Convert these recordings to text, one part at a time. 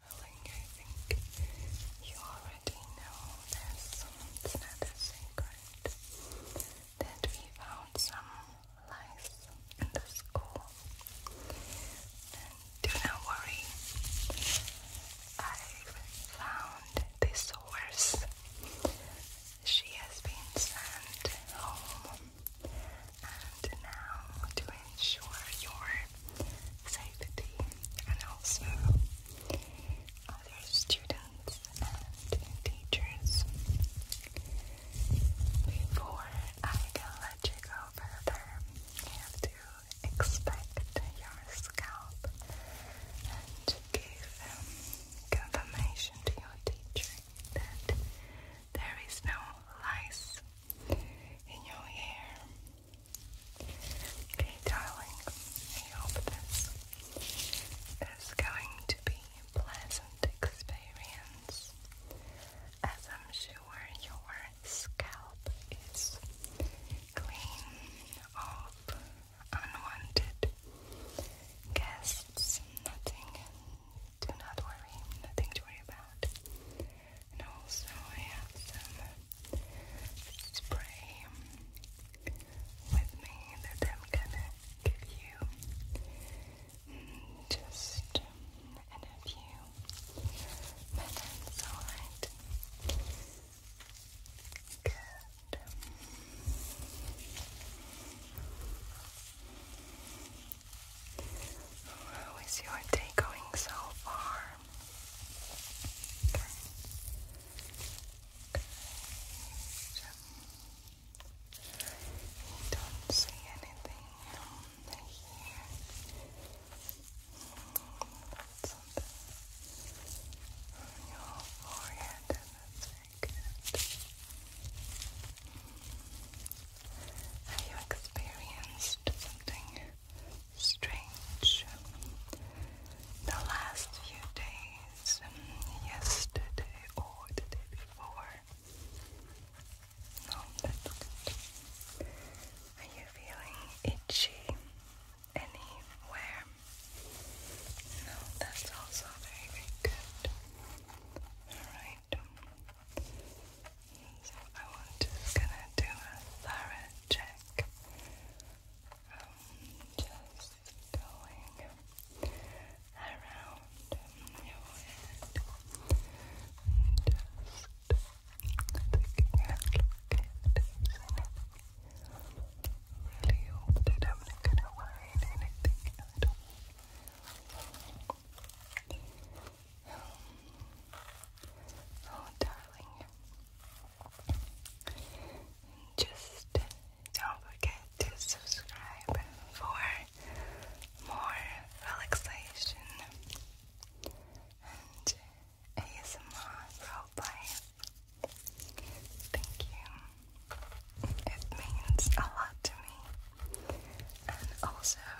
I think you already know this. It's not a secret that we found some lice in the school. do not worry, I found this horse. She has been sent home. And now, to ensure your safety and also other students and teachers. Before I can let you go further, you have to expect your scalp and give um, confirmation to your teacher that there is no lice in your hair Okay, darling, I hope this is going to be a pleasant experience as I'm sure your scalp is clean of unwanted guests. Nothing, do not worry, nothing to worry about and also I have some spray with me that I'm gonna give you mm, just um, in a few minutes, alright? Good. How is your day going so far? You don't see anything here. It's on, your forehead, that's very Have you experienced something strange. The last few days, um, yesterday or the day before. No, that's good. Are you feeling itchy anywhere? No, that's also very, very good. Alright. So I'm just gonna do a thorough check. Um, just going around your head just taking at it. Really hope that I'm not gonna hide anything Oh, darling. Just don't forget to subscribe for more relaxation and ASMR roleplay. Thank you. It means a lot to me. And also,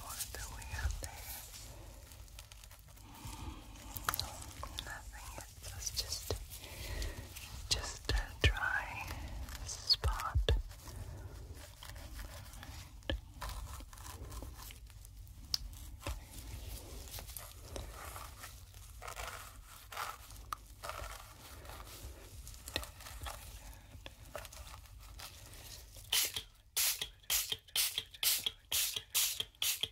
What do we have there? Hmm, nothing let just, just a dry spot.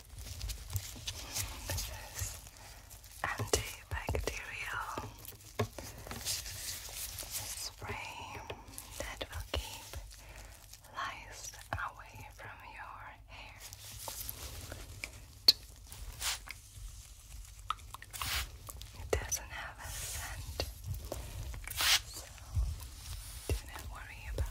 This is antibacterial spray that will keep lice away from your hair. It doesn't have a scent, so do not worry about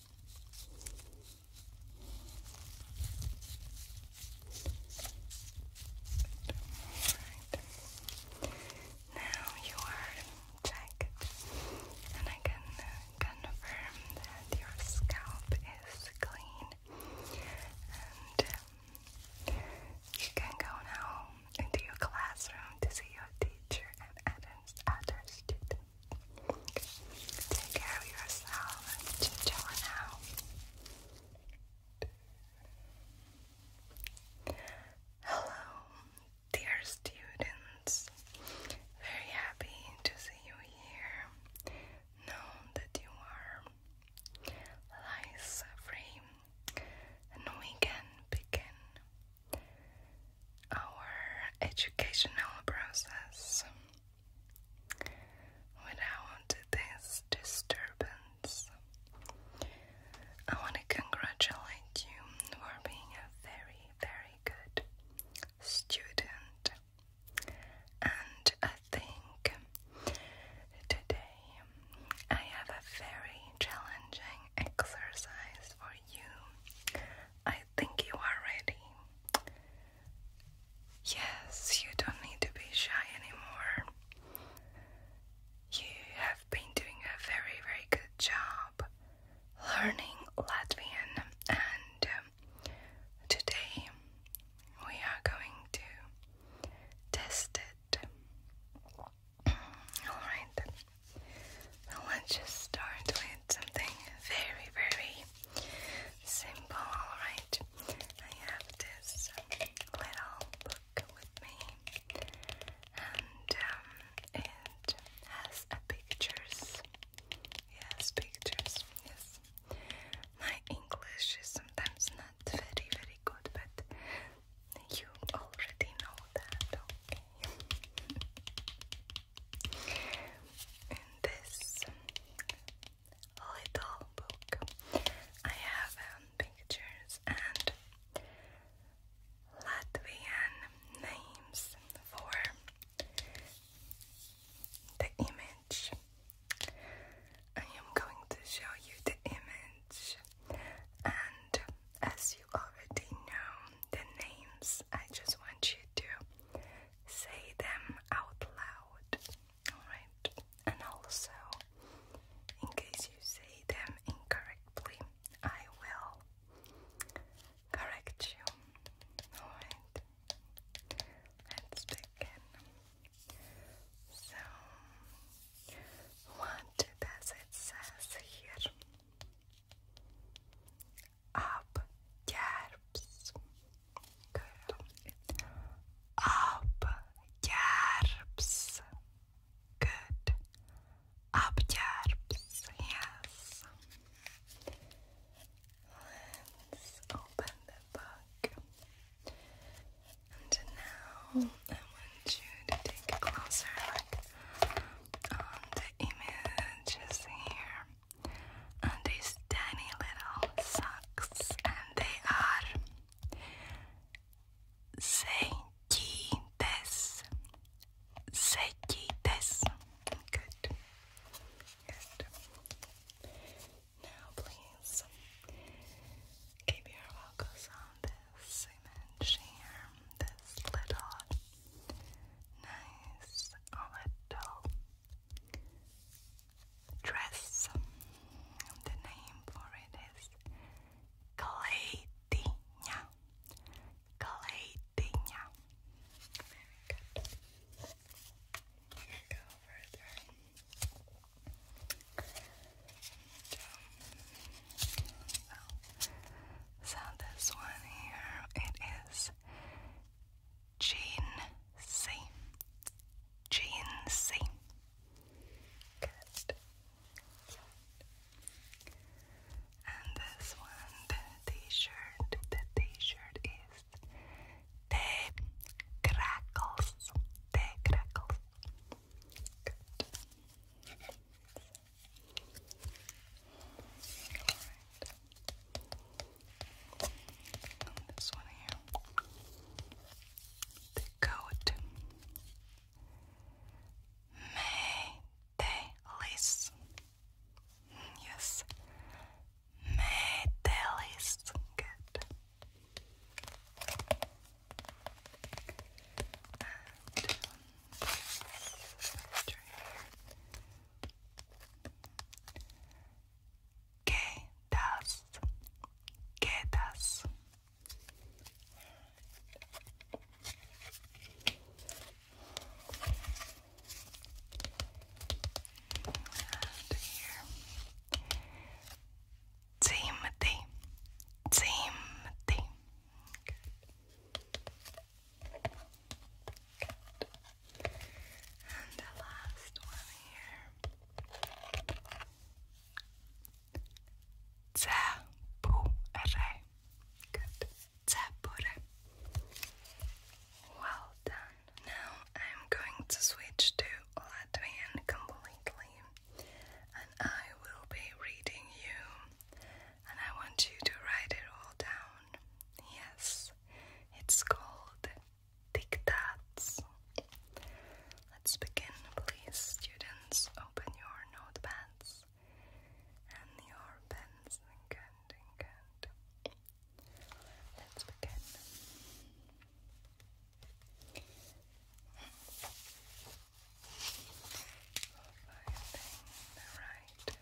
Right. Now you are checked, and I can confirm that your scalp is clean, and um, you can go now into your classroom to see your teacher and others, other students. Take care of yourself. Ciao now. Hello, dear students. Very happy to see you here. Know that you are lice free and we can begin our educational process without this disturbance. I want to congratulate you for being a very, very good student, and I think today I have a very challenging exercise for you you. I think you are ready. Yes, you don't need to be shy anymore. You have been doing a very, very good job learning Latvian, and um, today we are going to test it. Alright, I want to start with something very, very simple, alright? I have this little book with me, and um, it has pictures. Yes, pictures, yes. My English is sometimes not very, very good, but you already know that, okay? In this little book, I have um, pictures and Latvian names for the image. I am going to show you the image, and as you already know the names, I just want you to say them out loud. Alright, and also in case you say them incorrectly, I will correct you. Alright, let's begin. So, what it says here? Up Jerps. Girl. Good. Up Yes. Let's open the book. And now I want you to take a closer look on the images here. And these tiny little socks, and they are sekides. Sekides. Good. Good. Now, please keep your focus on this image here, this little nice little um, dress. The name for it is Kaleidinia. Kaleidinia. Um, so this one here, it is Jean C. Jean C. Good. And this one, the t-shirt, the t-shirt is the crackles. The crackles. Good. And this one here. The coat. May Yes. May Good. And, um, here. Quedas, quedas. And here, Timothy, Timothy. Good. And the last one here. Zebure. Good. Zebure. Well done. Now I'm going to switch to Latvian completely. And I will be reading you, and I want you to write it all down. Yes, it's called Dictats. Let's begin, please, students. Open your notepads and your pens and and Let's begin. Finding right.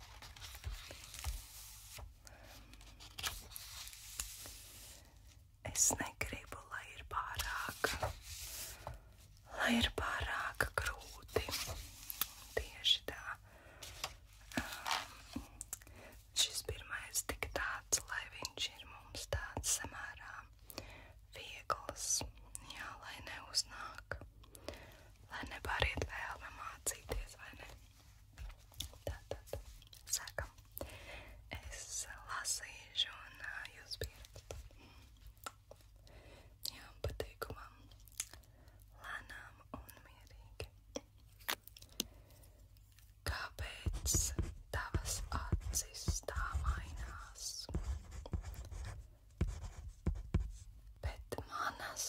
Es negribu, lai ir pārāk, lai ir pārāk grūti. Tieši tā. Um, šis pirmais tik tāds, lai viņš ir mums tāds samērā viegls, jā, lai neuznāk lai nepāriet vēlme mācīties, vai ne? Tātad, sākam. Es lasīšu un jūs pieredzat. Mm. Jā, pateikumam. Lēnām un mierīgi. Kāpēc tavas acis tā mainās? Bet manas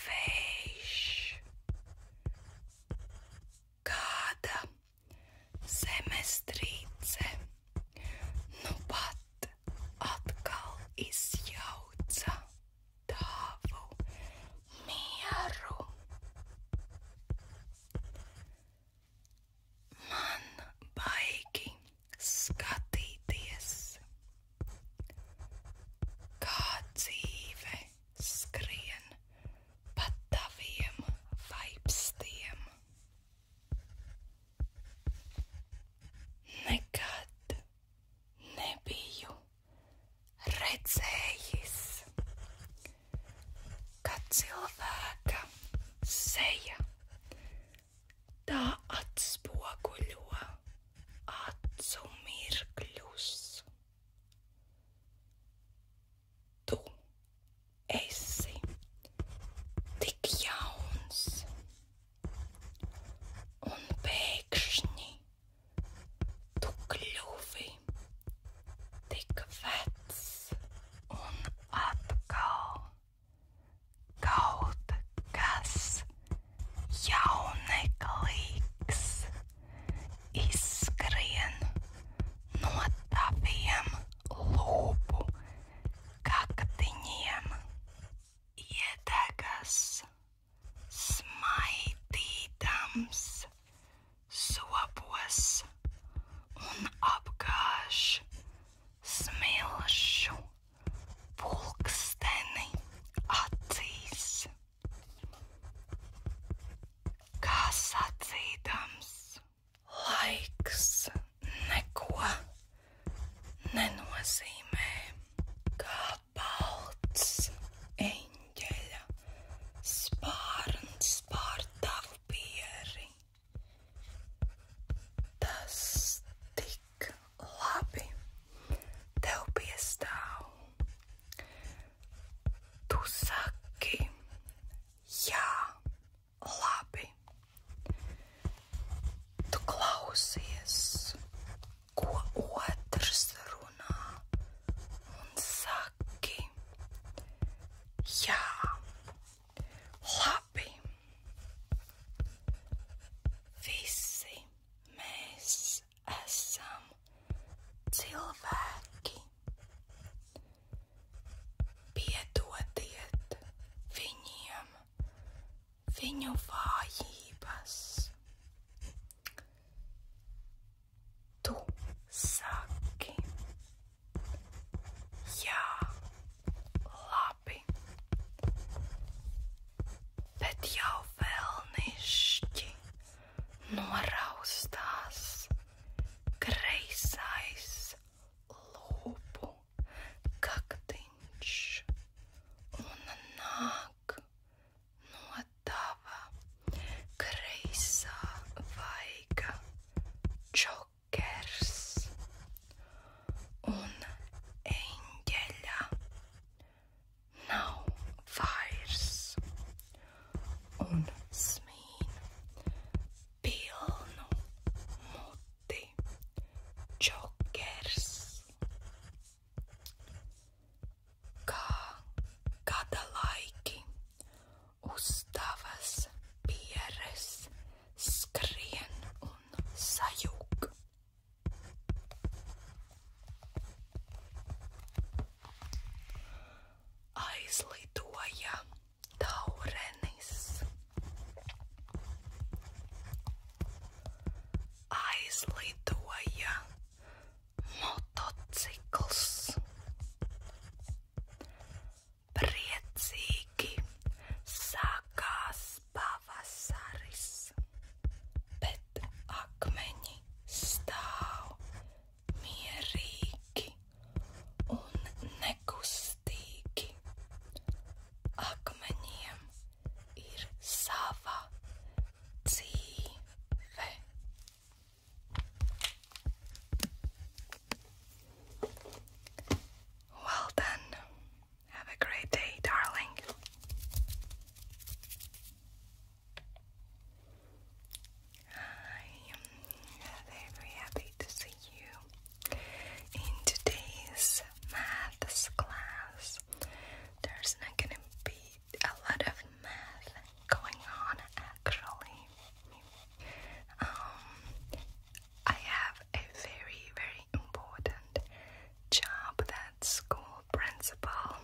vējš, kāda zemestrīce nu pat atkal izjauca tavu mieru. Man baigi skatīties, kā dzīve skrien pa taviem vaipstiem. Nekad nebiju redzējis, ka cilvēka seja tā atspoguļo acu mirkļus. Tu esi tik jauns, un pēkšņi tu kļuvi tik vecs un atkal kaut kas jauneklīgs izskrien no taviem lūpu kaktiņiem, iedegas smaidīdams sopos un apgāž smilšu pulksteni acīs, kā sacīdams, laiks neko nenozīmē, kā balts eņģeļa spārns pār tavu pieri. Tas tik Labi, tev piestāv. Tu saki, jā, labi. Tu klausies, ko otrs runā, un saki, jā, labi. Visi Mēs esam cilvēki. Piedodiet viņiem viņu vājības. Tu saki, jā, labi labi. Bet jau vēlnišķi noraustās kreisais lūpu kaktiņš un nāk no tava kreisā vaiga čokers un eņģeļa nav vairs un smīn pilnu muti čokers. Kā gada laiki uzdavas pieres skrien un sajūg. Aizlidoja taurenis. Aizlidoja motocikls. Priecīgi sākās pavasaris, bet akmeņi stāv mierīgi un nekustīgi. Akmeņiem ir sava dzīve. Well done. Have a great day, darling. I am very happy to see you in today's maths class. There's not gonna be a lot of math going on actually. Um, I have a very, very important job that school principal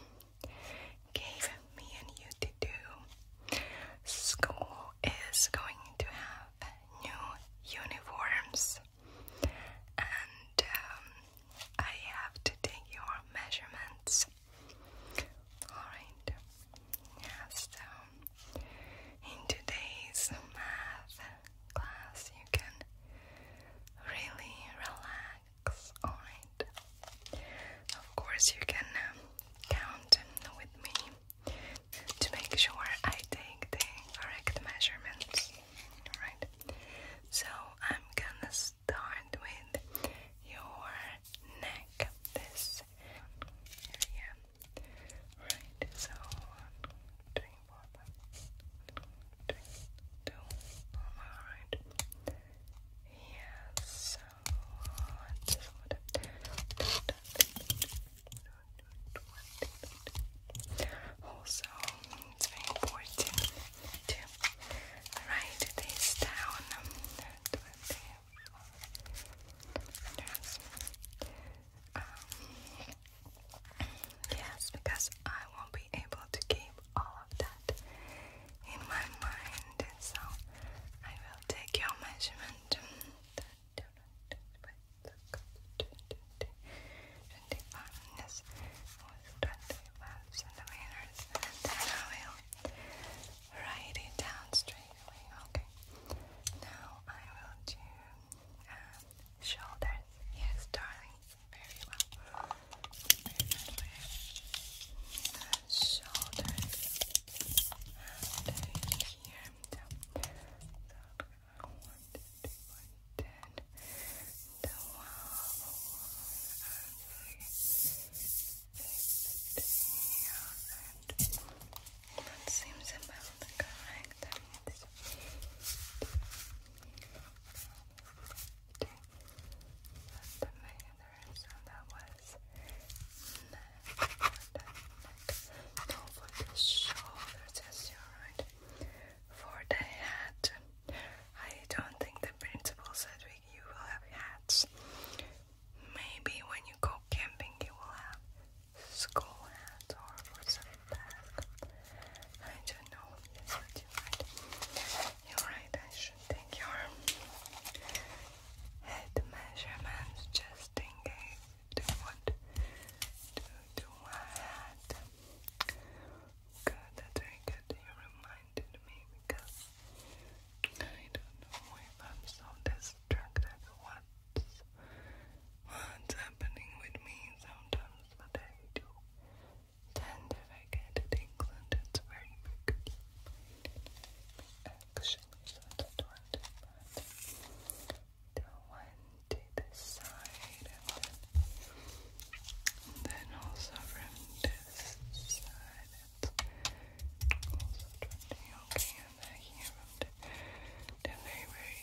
gave me and you to do. School is going to have new uniforms, and um, I have to take your measurements. Alright, yeah, so um, in today's math class you can really relax on Of course, you can um, count with me to make sure I take the correct measurements. Alright, so I'm gonna start with your neck. This area, right? So, one, two, three do on Yes, Also, it's um, very important to write this down. Yes, because I won't be able to keep all of that in my mind, so I will take your measurement. yes, with twenty-five centimeters, and then I will write it down straight away. Okay. Now I will do um, shoulders. Yes, darling very well. Very nicely. Shoulders and here down. So I the wall that seems about correct. Okay. the main sound that was for the shoulders, yes, you're right. For the head, I don't think the principal said we, you will have hats. Maybe when you go camping, you will have skull hats or for back. I don't know. you do right. You're right. I should take your head measurements just in case do want to do my head. Good, that's good. You reminded me because I don't know if I'm so distracted. What's what's happening with me sometimes, but tend if get it England, it's very big. Actually, so I do the one to the side then, also from this side it's also twenty okay and then here from the, the very very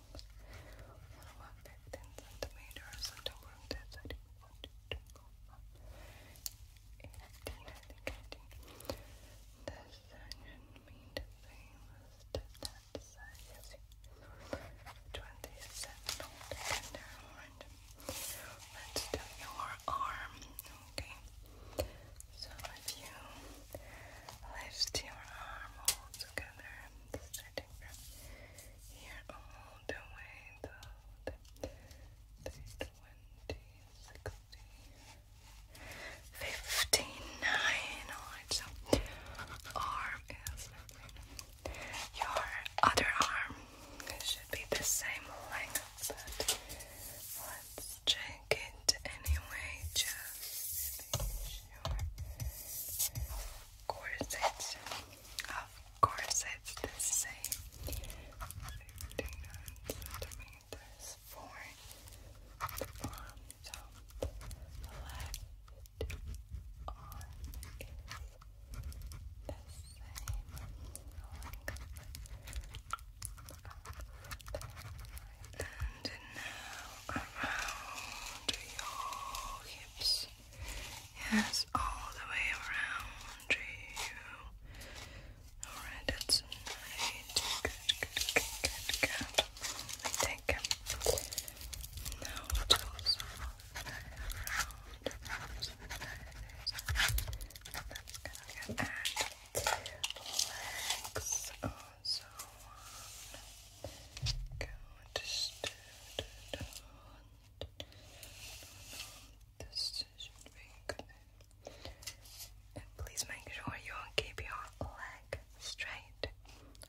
What about 15 centimeters? don't to go up. 18, This side should the same as that side. Twenty-seven altogether. Let's do your arm. Okay. So if you lift your arm all together, starting from here all the way to the 20, so arm is your other arm. should be the same length, but let's check it anyway just to corsets. Of corsets, this is a 59 centimeters for the bottom top. Left arm is the same And now around your hips. Yes, all the way around you. Alright, that's nice. Good, good, good, good, good. Let me take him. Now it goes around. That's gonna get and legs also. One, decision please make sure you keep your leg straight.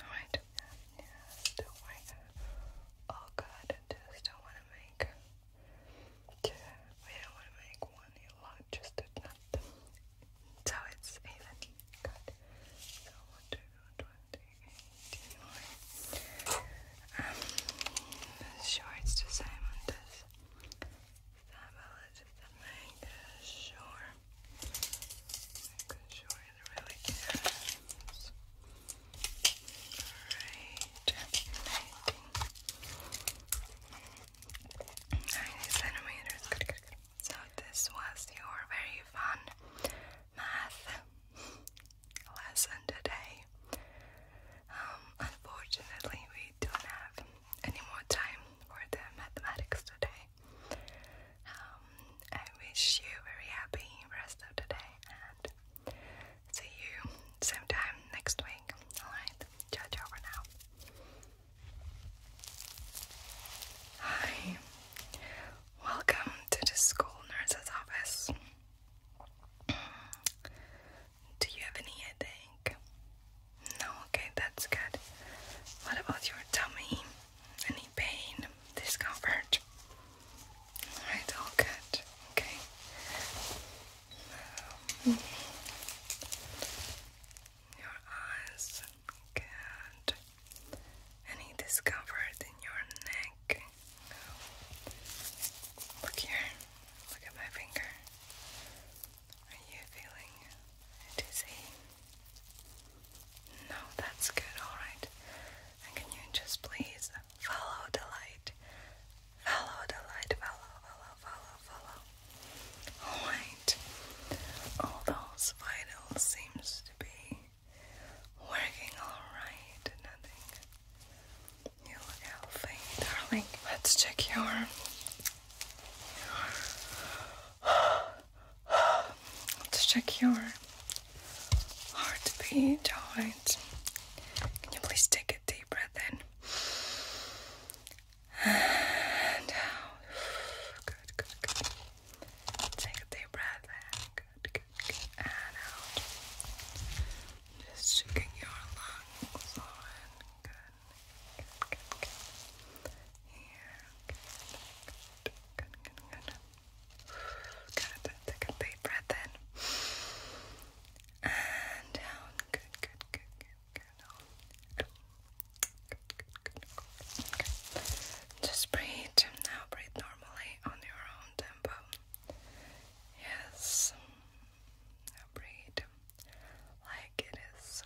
Alright? Yes, don't worry. Oh to we don't want to make one long So it's even. Good. one, two, one, two, anymore. Um, sure, it's this. Stability that sure. Making sure it really counts. Great. 90 centimeters. Good, good, good. So, this was your very fun math lesson today. Um, unfortunately, we don't have any more time for the mathematics today. Um, I wish you very happy rest of the day and see you same time next week. Alright, ciao ciao for now. Hi, Welcome to the school nurse's office. Do you have any headache? No, okay, that's good. What about your tummy? Any pain? Discomfort? Alright, all good. Okay. Um, your eyes and Any discomfort in your neck? Look here. Look at my finger. Are you feeling dizzy? No, that's good. All right. And can you just please follow the light? Follow the light. Follow, follow, follow, follow. All right. All those seems to be Working alright, nothing. You look healthy, darling. Let's check your, your let's check your heartbeat, alright. Can you please take a deep breath in? And out. good, good. Take a deep breath in. Good, good, good. And out. Just checking your lungs on. Good, good, good, good. good, good, good, good. Good, take a deep breath in. And down. Good, good, good, good, good. Good, good, good, good. Okay. Just breathe. Now breathe normal normally on your own tempo. Yes, breathe like it is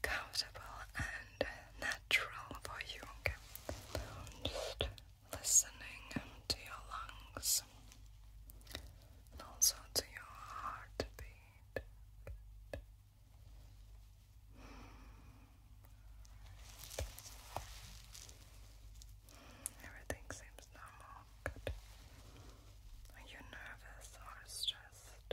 comfortable and natural for you. Just listening to your lungs and also to your heartbeat. Good. Everything seems normal. Good. Are you nervous or stressed?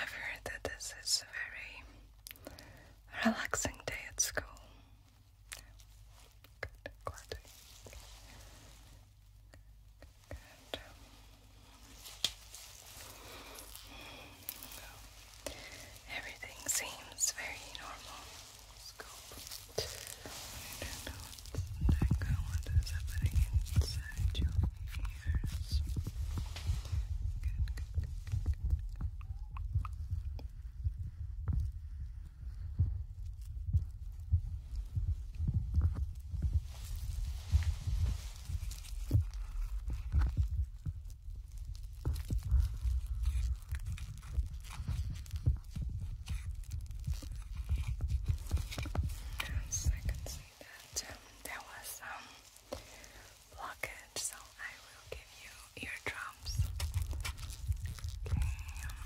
I've heard that this is a very relaxing day at school. Good, glad to everything seems very normal. I don't know what's going what is inside your ears. As I can see that there was um, blockage, so I will give you eardrums. Okay. Um,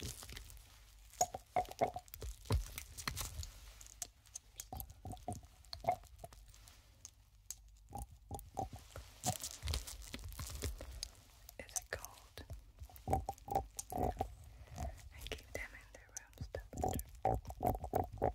Is it cold? I keep them in their rooms temperature.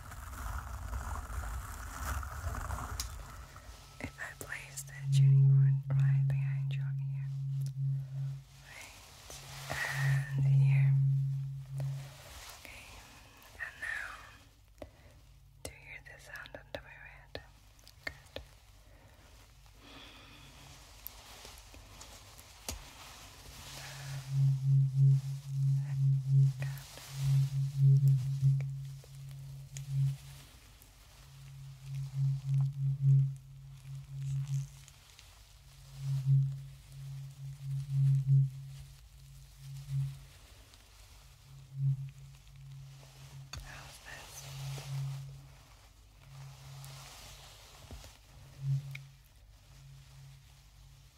If I place the tuning board right behind your ear, and here, and now, do you hear the sound under my head? Good. How's this?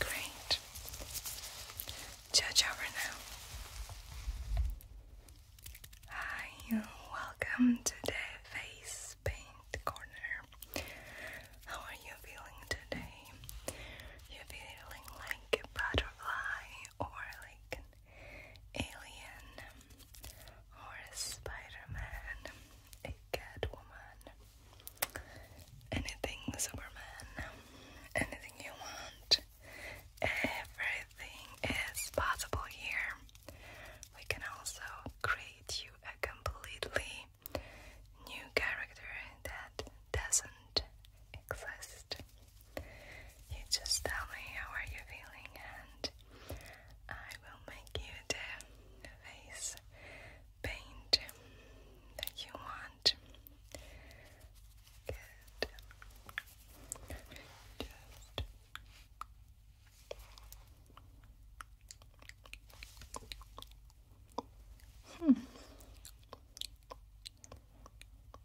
Great. Judge over now. Hi, welcome to the face paint corner. How are you feeling today? You feeling like a butterfly or like Alien, or a Spider-Man, a Catwoman, anything Superman, anything you want. Everything is possible here. We can also create you a completely new character that doesn't exist. You just tell me how are you feeling and I will make you the face paint that you want. Good. Just Hmm. Blackburn Island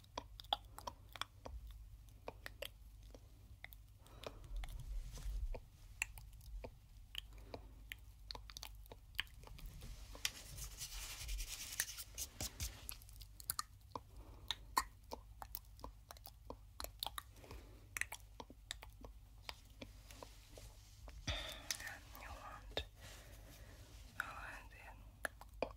And you want, oh, and then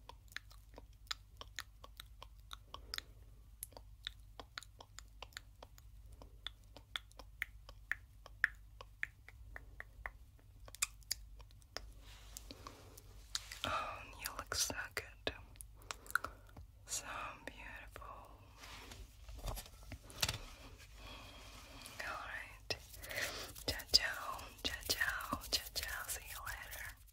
Oh, you look so good. So beautiful. Alright. Ciao ciao. Ciao ciao. See you later.